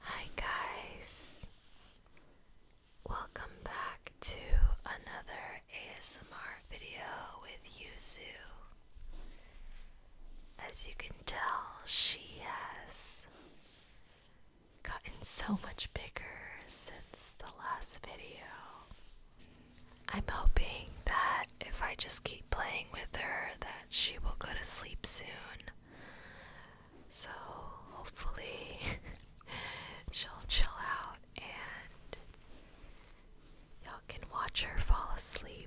Hi, guys. Welcome back to another ASMR video with Yuzu. As you can tell, she has gotten so much bigger since the last video. I'm hoping that if I just keep playing with her that she will go to sleep soon so hopefully she'll chill out and y'all can watch her fall asleep.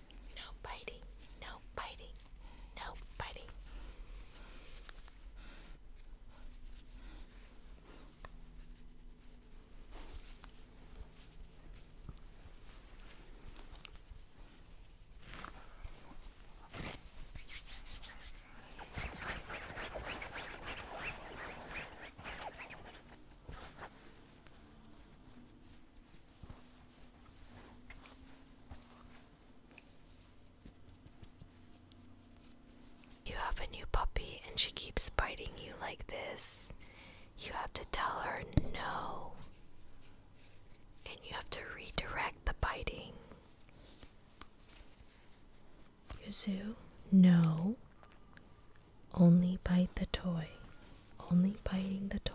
No biting. No biting. No biting. You have a new puppy and she keeps biting you like this. You have to tell her no. And you have to redirect the biting. Yuzu, no. Only bite the toy. Only biting the toy.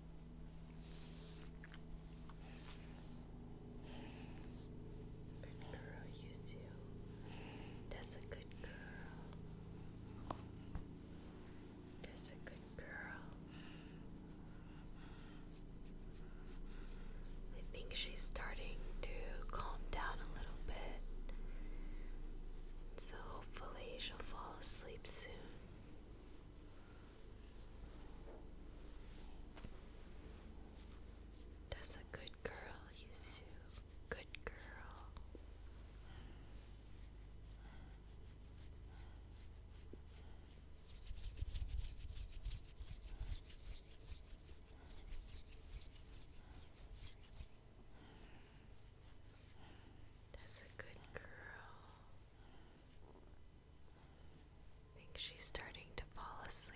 Good girl, Yuzu. That's a good girl. That's a good girl. I think she's starting to calm down a little bit. So hopefully she'll fall asleep soon. That's a good girl, you Sue. Good girl. That's a good girl. I think she's starting to fall asleep.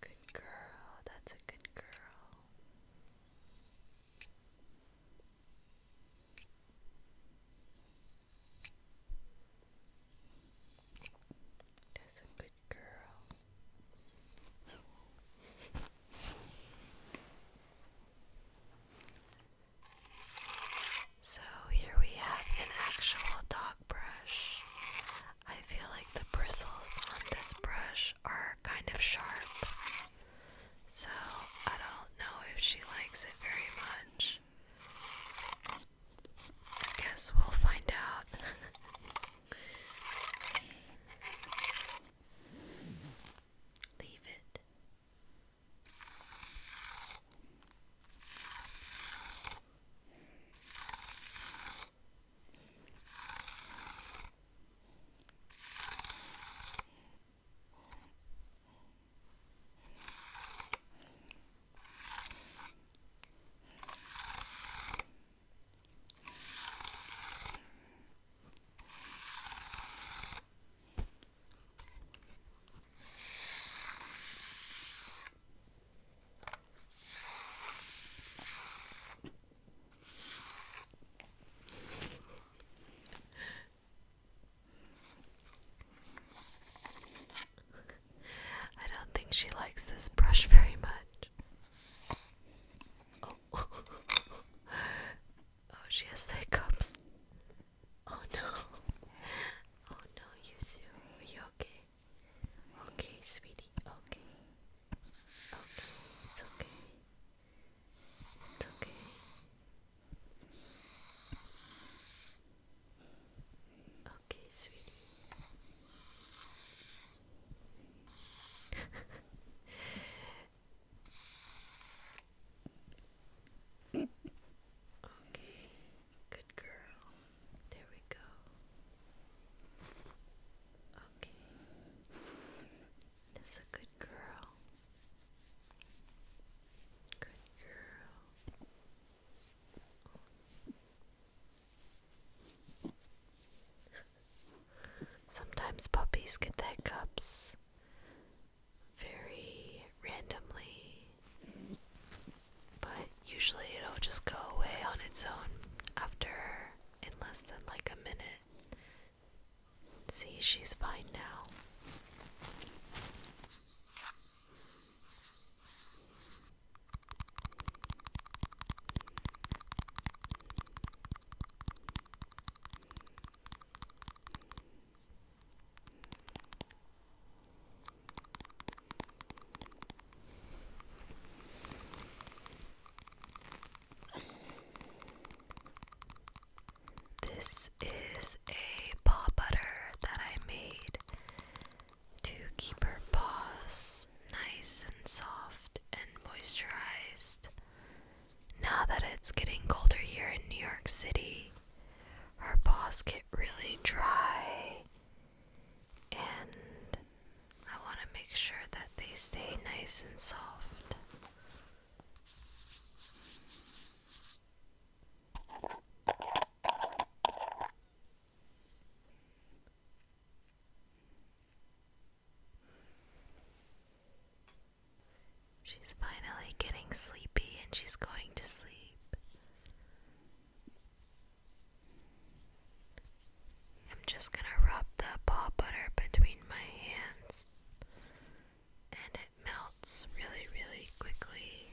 Good girl, that's a good girl. That's a so here we have an actual dog brush. I feel like the bristles on this brush are kind of sharp. So I don't know if she likes it very much. I guess we'll find out. Leave it. Good. I don't think she likes this brush very much. Oh. oh, she has the cups. Oh no. Oh no, Yuzu. Are you okay? Okay, sweetie. Okay. Oh it's okay. It's okay. Okay, sweetie okay, good girl. There we go. Okay, that's a good girl. Good girl. Sometimes puppies get their hiccups very randomly, but usually it'll just go away on its own after in less than like a minute. See, she's fine now. This is a paw butter that I made to keep her paws nice and soft and moisturized. Now that it's getting colder here in New York City, her paws get really dry, and I want to make sure that they stay nice and soft. She's finally getting sleepy and she's going to sleep. I'm just going to rub the paw butter between my hands and it melts really, really quickly.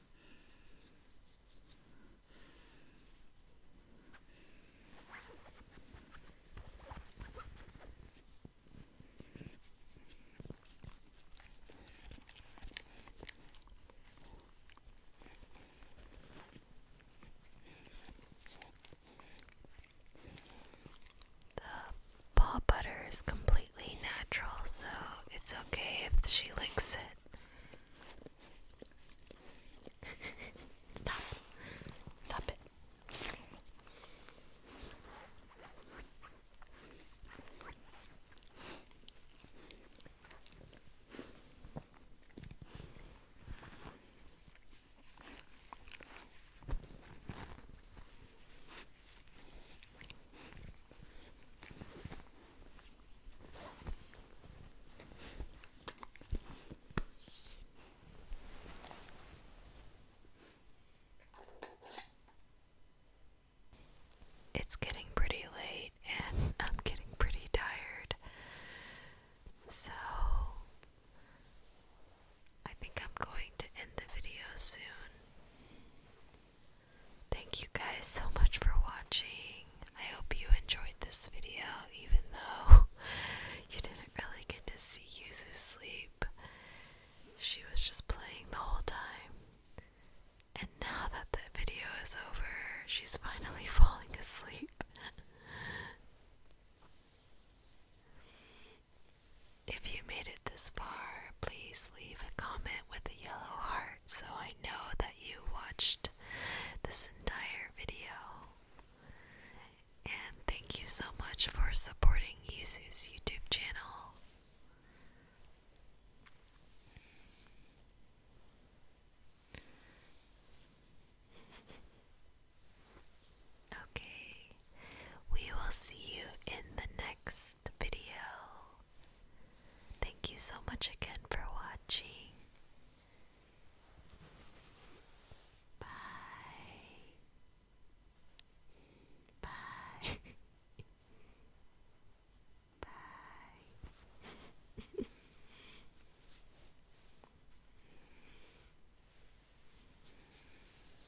The paw butter is complete natural, so it's okay if she licks it. Stop. Stop it. It's getting pretty late, and I'm getting pretty tired. So, I think I'm going to end the video soon. Thank you guys so much for watching. I hope you enjoyed this video, even though you didn't really get to see Yuzu sleep. She was just playing the whole time. And now that the video is over, she's finally falling asleep. If you made it this far, please leave a comment with a yellow heart so I know that you watched this entire video. And thank you so much for supporting Yuzu's YouTube channel. Okay. We will see you in the next video. Thank you so much again for watching. Bye. Bye. Bye.